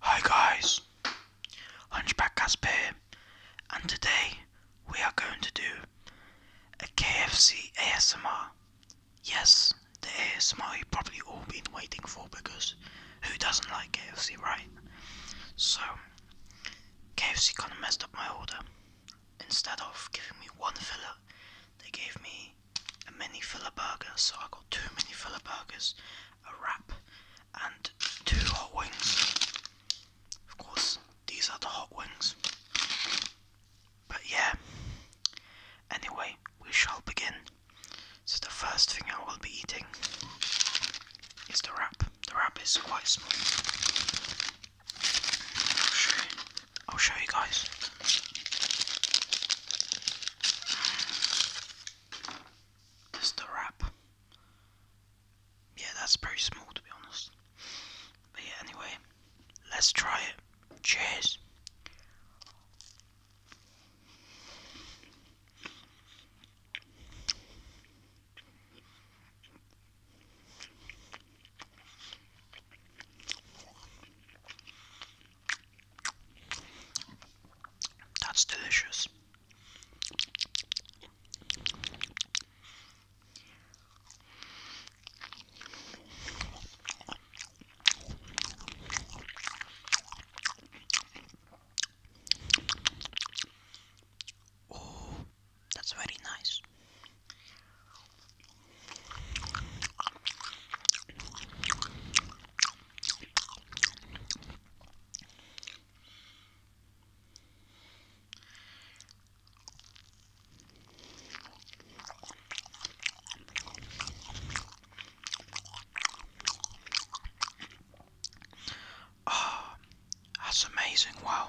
Hi guys, Hunchback Casper here, and today we are going to do a KFC ASMR. Yes, the ASMR you've probably all been waiting for because who doesn't like KFC, right? So, KFC kind of messed up my order. Instead of giving me one filler, they gave me a mini filler so I got two mini filler a wrap, and two hot wings. Of course, these are the hot wings. But yeah. Anyway, we shall begin. So the first thing I will be eating is the wrap. The wrap is quite small. I'll show you, I'll show you guys. That's the wrap. Yeah, that's pretty small to be honest. But yeah, anyway, let's try it. Cheers. That's delicious. Oh, that's very nice. Oh, that's amazing, wow.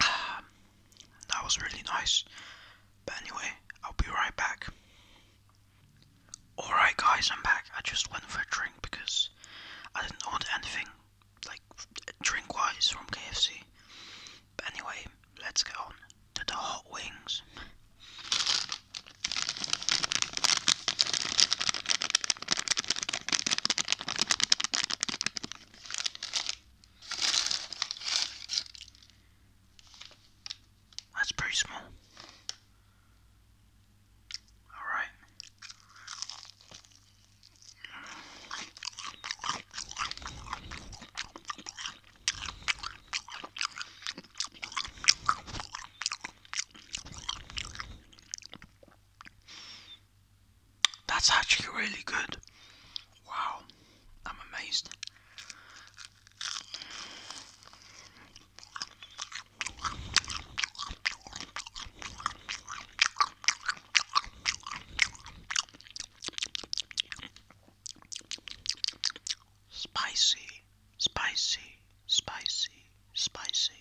Um, that was really nice. But anyway, I'll be right back. Alright, guys, I'm back. I just went for a drink because I didn't order anything, like drink wise, from KFC anyway, let's go on to the hot wings. That's pretty small. Alright. That's actually really good. Wow, I'm amazed. Spicy, spicy, spicy, spicy.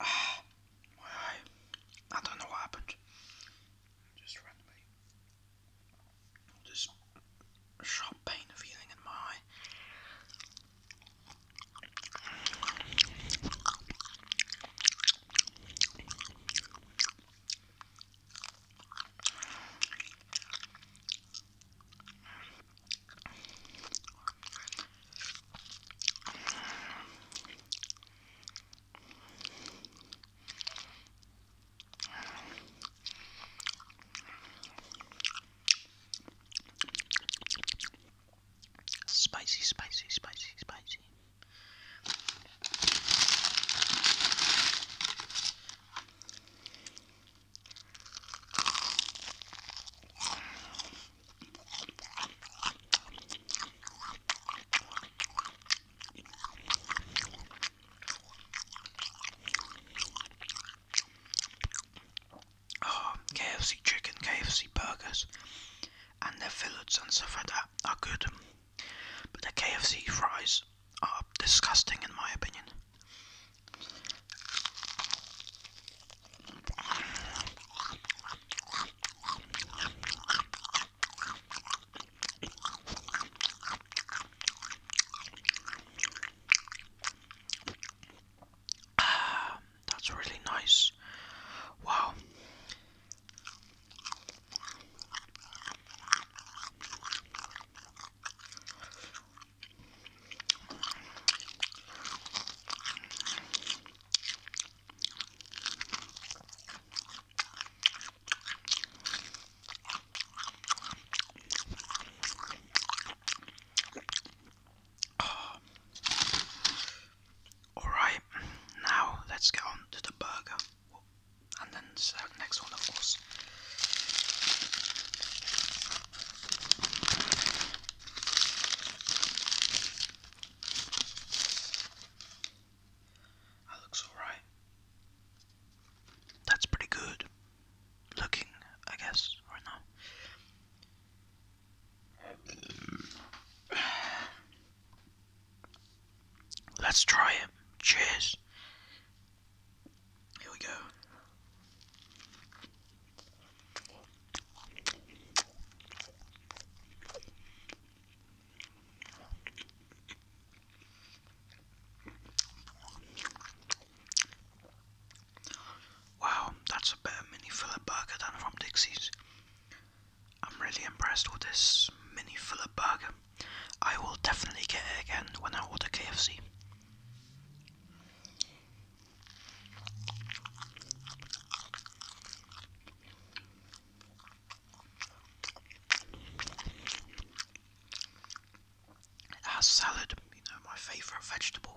Ah, I, don't know what happened. Just randomly just a sharp pain feeling in my eye. Spicy, spicy, spicy, spicy. Oh, KFC chicken, KFC burgers, and their fillets and stuff like that are good, but the KFC fries are disgusting in my opinion. Ah, that's really nice. Wow. Ah. All right, now let's get on to the burger, and then the next one, of course. That looks alright. That's pretty good looking, I guess, right now. Let's try it. Cheers. Here we go. Wow, that's a better mini filler burger than from Dixie's. I'm really impressed with this mini filler burger. I will definitely get it again when I order KFC has salad, you know, my favourite vegetable.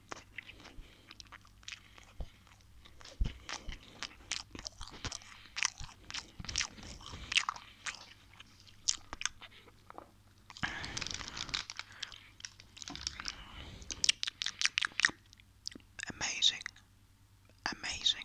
Amazing, amazing.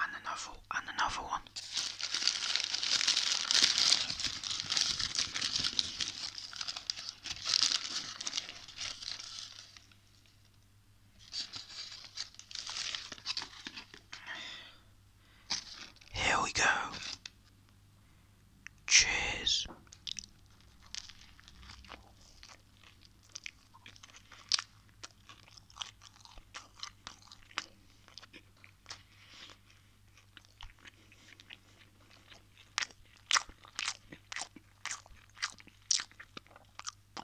and another and another one. Here we go. Cheers.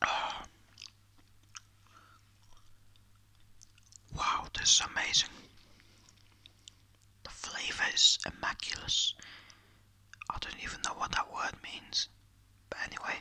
Ah. Wow, this is amazing. The flavor is immaculate. I don't even know what that word means. But anyway.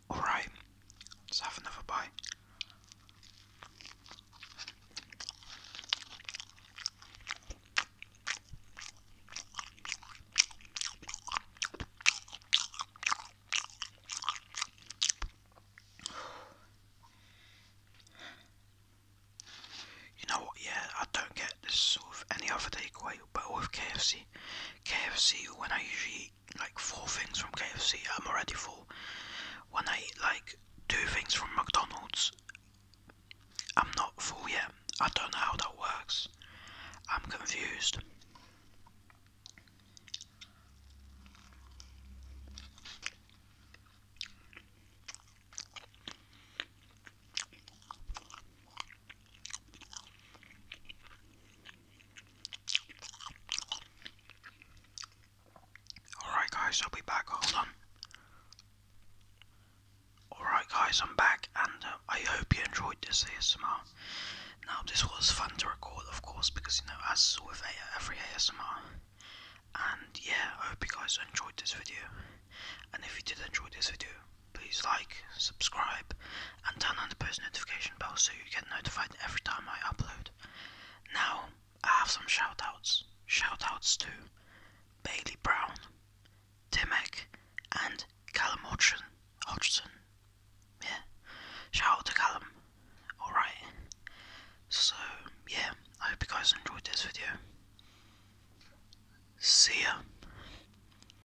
Alright, let's have another bite. You know what, yeah, I don't get this with any other takeaway, but with KFC, KFC, when I usually like four things from KFC, I'm already full. When I eat like two things from McDonald's, I'm not full yet. I don't know how that works. I'm confused. Alright, guys, I'll be back. Hold on. Alright, guys, I'm back, and uh, I hope you enjoyed this ASMR. Now, this was fun to record, of course, because you know, as with every ASMR. And yeah, I hope you guys enjoyed this video. And if you did enjoy this video, Please like, subscribe, and turn on the post notification bell so you get notified every time I upload. Now, I have some shoutouts. Shoutouts to Bailey Brown, Timek, and Callum Hodgson. Hodgson. Yeah. Shout out to Callum. Alright. So, yeah, I hope you guys enjoyed this video. See ya.